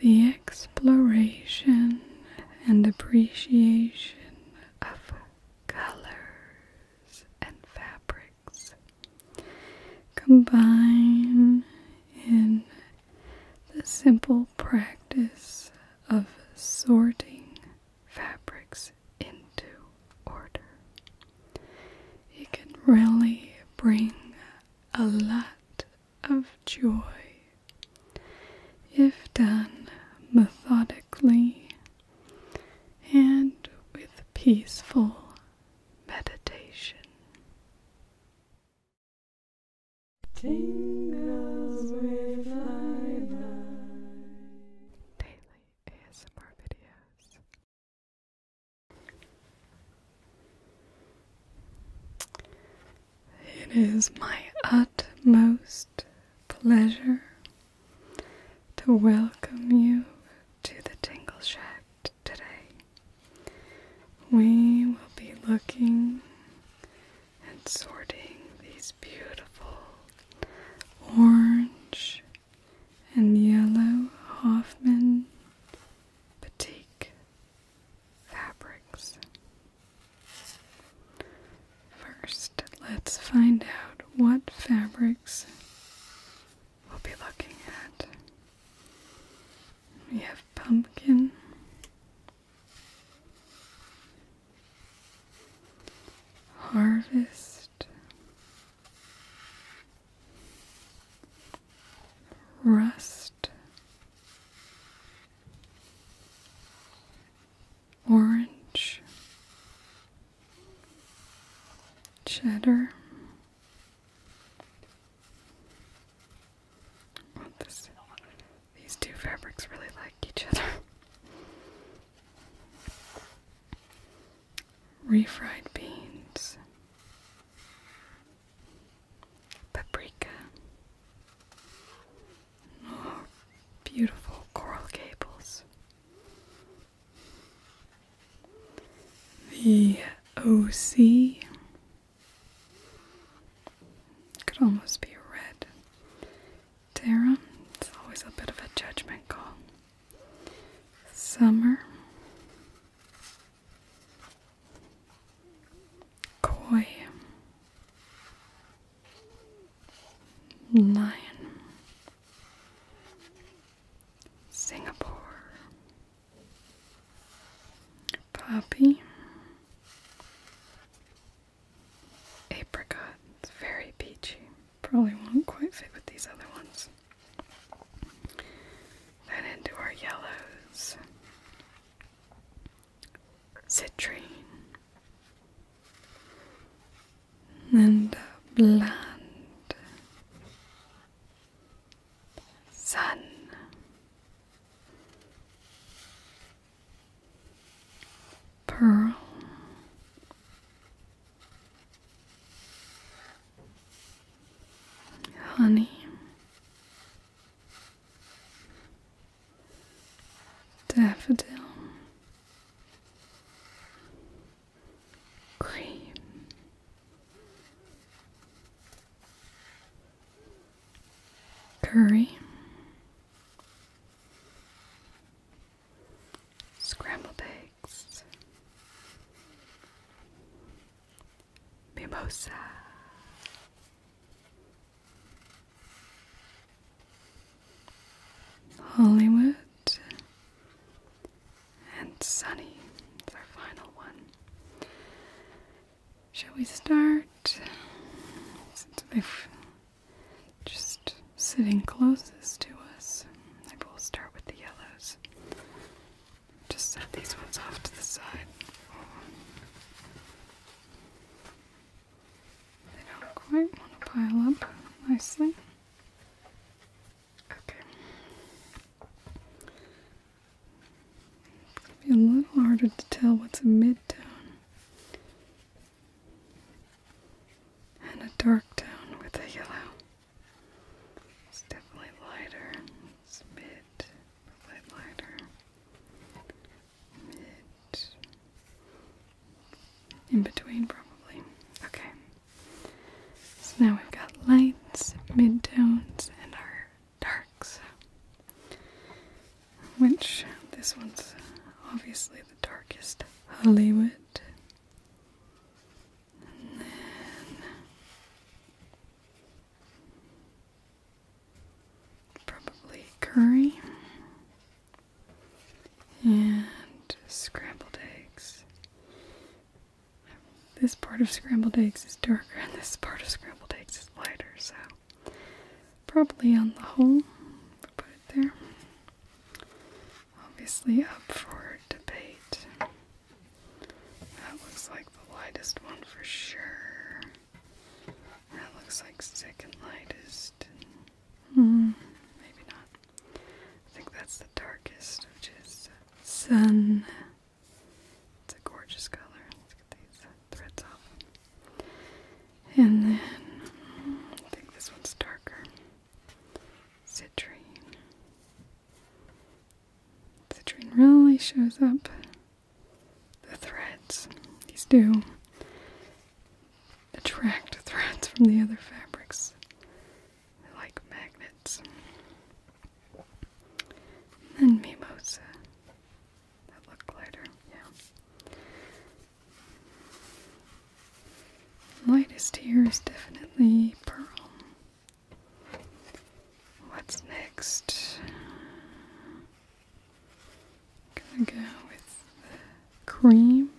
The exploration and appreciation of colors and fabrics combine in the simple practice of sorting fabrics into order. It can really bring a lot of joy. If done methodically and with peaceful meditation. It is my utmost pleasure to welcome you to the Tingle Shack today. We will be looking and sorting these beautiful orange and yellow Hoffman batik fabrics. First, let's find out what fabrics we'll be looking at. We have pumpkin, harvest, rust, orange, cheddar. these two fabrics really like each other. Refried beans, paprika. Oh, beautiful coral gables. The OC could almost be red. Terra, it's always a bit of a judgment call. Summer, Koi Nine Singapore Poppy Apricot, it's very peachy. Probably won't quite fit with these other ones. Then into our yellows, citrine, and blonde, sun. Pearl Honey, daffodil, cream, curry scrambled eggs, mimosa. Hollywood and Sunny is our final one. Shall we start? just sitting closest to us. I will start with the yellows. Just set these ones off to the side. They don't quite want to pile up nicely. Okay. It's gonna be a little harder to tell what's a mid tone and a dark tone with a yellow. It's definitely lighter. It's mid, a lighter. Mid. In between, probably. Okay. So now we've got lights, mid tones, and our darks. Which, this one's obviously the darkest Hollywood. And then probably curry and scrambled eggs. This part of scrambled eggs is darker and this part of scrambled eggs is lighter, so probably on the whole, put it there obviously up for debate. That looks like the lightest one for sure. That looks like second lightest. Hmm, maybe not. I think that's the darkest, which is sun. It's a gorgeous color. Let's get these threads off. And then I think this one's darker citrine. Citrine really shows up the threads. These do attract threads from the other fabrics. like magnets. And then mimosa. That looked lighter, yeah. Lightest here is definitely pearl. What's next? I'm gonna go with cream.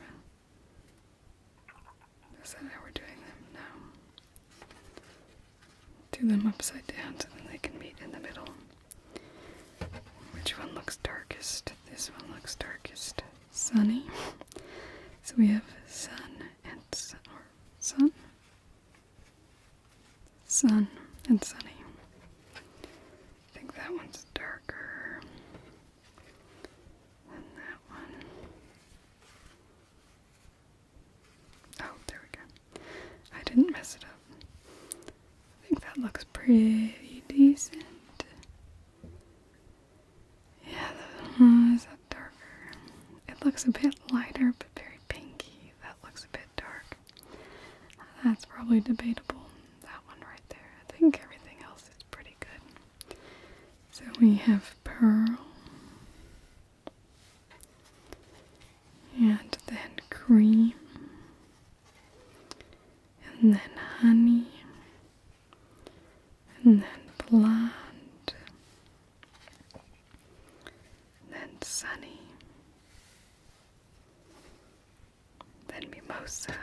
Is that how we're doing them? now? Do them upside down so then they can meet in the middle. Which one looks darkest? This one looks darkest sunny. So we have sun and sun, sun, sun and sunny. I think that one's darker than that one. Oh, there we go. I didn't mess it up. I think that looks pretty decent. Yeah, is that darker? It looks a bit lighter, but very pinky. That looks a bit dark. That's probably debatable. That one right there. I think everything else is pretty good. So we have pearl. And then cream and then honey, and then plant, then sunny, then mimosa,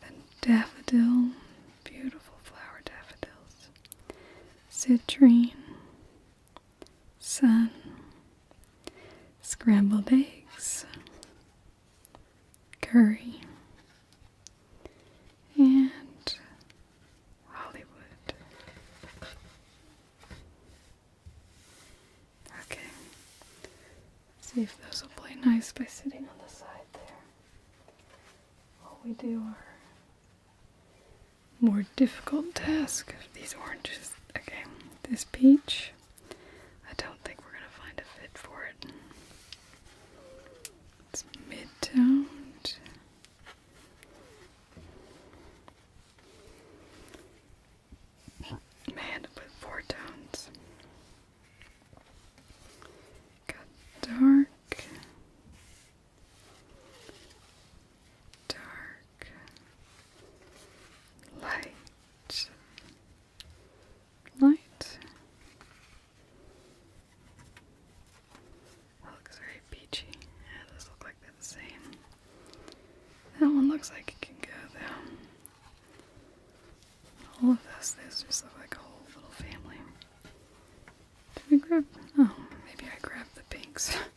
then daffodil, beautiful flower daffodils, citrine, sun scrambled eggs, curry, and Hollywood. Okay, see if those will play nice by sitting on the side there. What we do are more difficult tasks. These oranges. Okay, this peach. I don't think we're gonna find a fit for it. It's mid-toned. Man, with four tones. Got dark dark, light, light. That looks very peachy. Yeah, those look like they're the same. That one looks like it can go though. All of this, these just look like a whole little family. Did we grab? Oh, maybe I grabbed the pinks.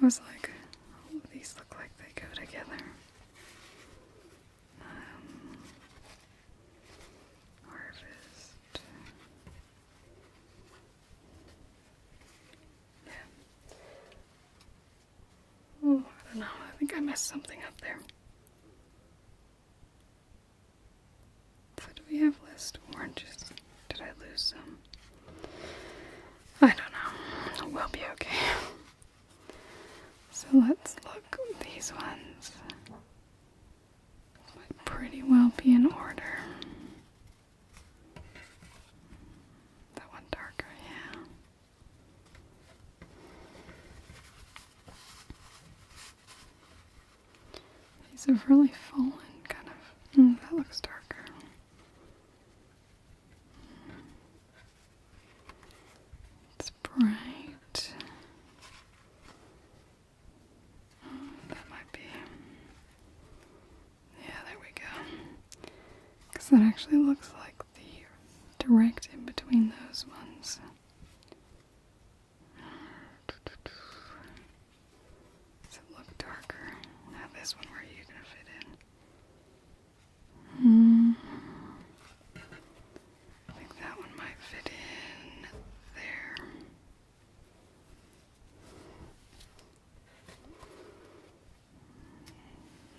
I was like, all oh, of these look like they go together. Um, harvest. Yeah. Oh, I don't know. I think I messed something up there. So do we have list oranges? Did I lose some? I don't know. We'll be okay. So let's look. These ones might pretty well be in order. That one darker, yeah. These have really fallen, kind of. Mm, that looks darker. It's bright. that might be. Yeah, there we go. Because that actually looks like the direct in between those ones. Does it look darker? Now this one, where are you gonna fit in? Mm. I think that one might fit in there.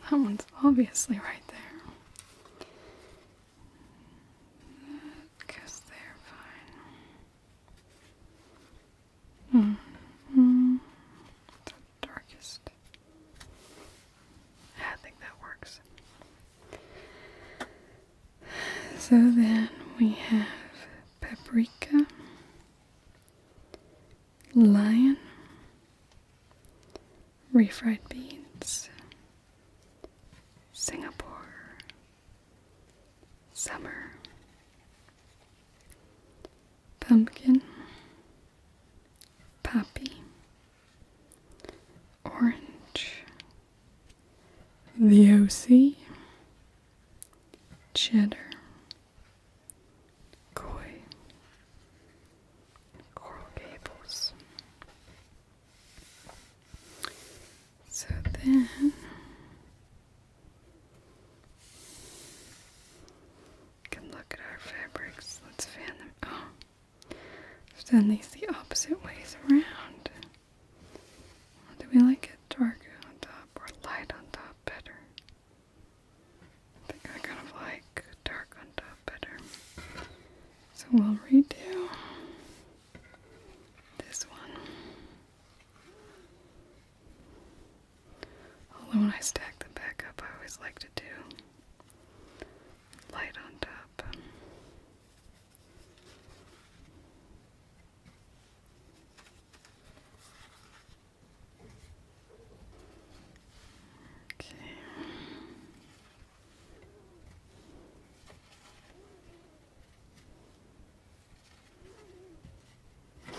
That one's obviously right there. That goes there, fine the darkest. I think that works. So then we have paprika, lion, refried beans, Singapore, Summer. Pumpkin. Poppy. Orange. The OC. Cheddar. Koi. Coral Gables. So then you can look at our fabrics. Let's fan them. Oh, I've done these the opposite ways around. Do we like it darker on top or light on top better? I think I kind of like dark on top better. So we'll redo this one. Although when I stack them back up, I always like to do light on top. Okay.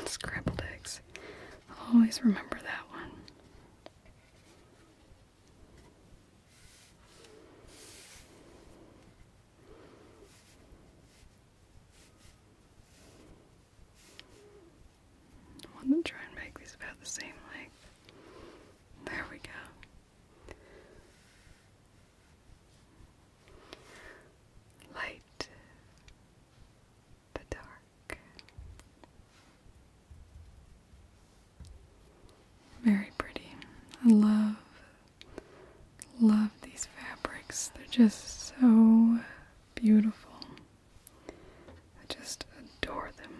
Scrambled eggs. I'll always remember that one. I want to try and make these about the same length. There we go. Light the dark. Very pretty. I love, love these fabrics. They're just so beautiful. I just adore them.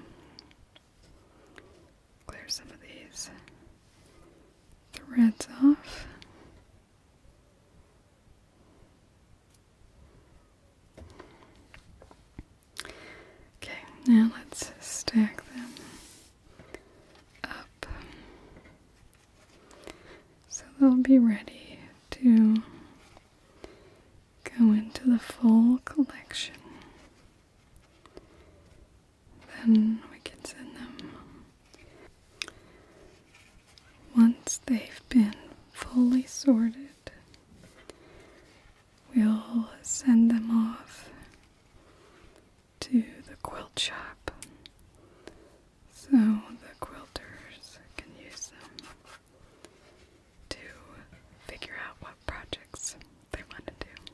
Clear some of these threads off. Okay, now let's stack them up so they'll be ready to go into the full collection then we can send them. Once they've been fully sorted, we'll send them off to the quilt shop so the quilters can use them to figure out what projects they want to do.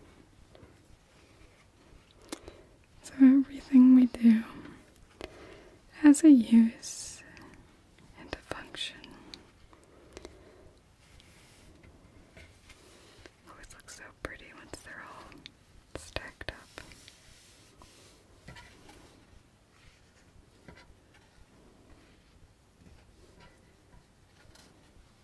So everything we do has a use and a function. Always looks so pretty once they're all stacked up.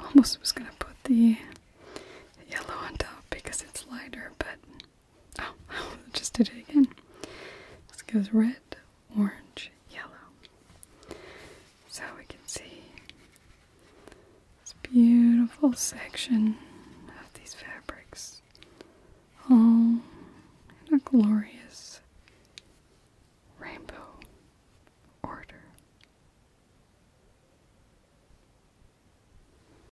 almost was going to put the yellow on top because it's lighter, but Oh, just did it again. This goes red, orange, yellow. So we can see this beautiful section of these fabrics, all in a glorious rainbow order.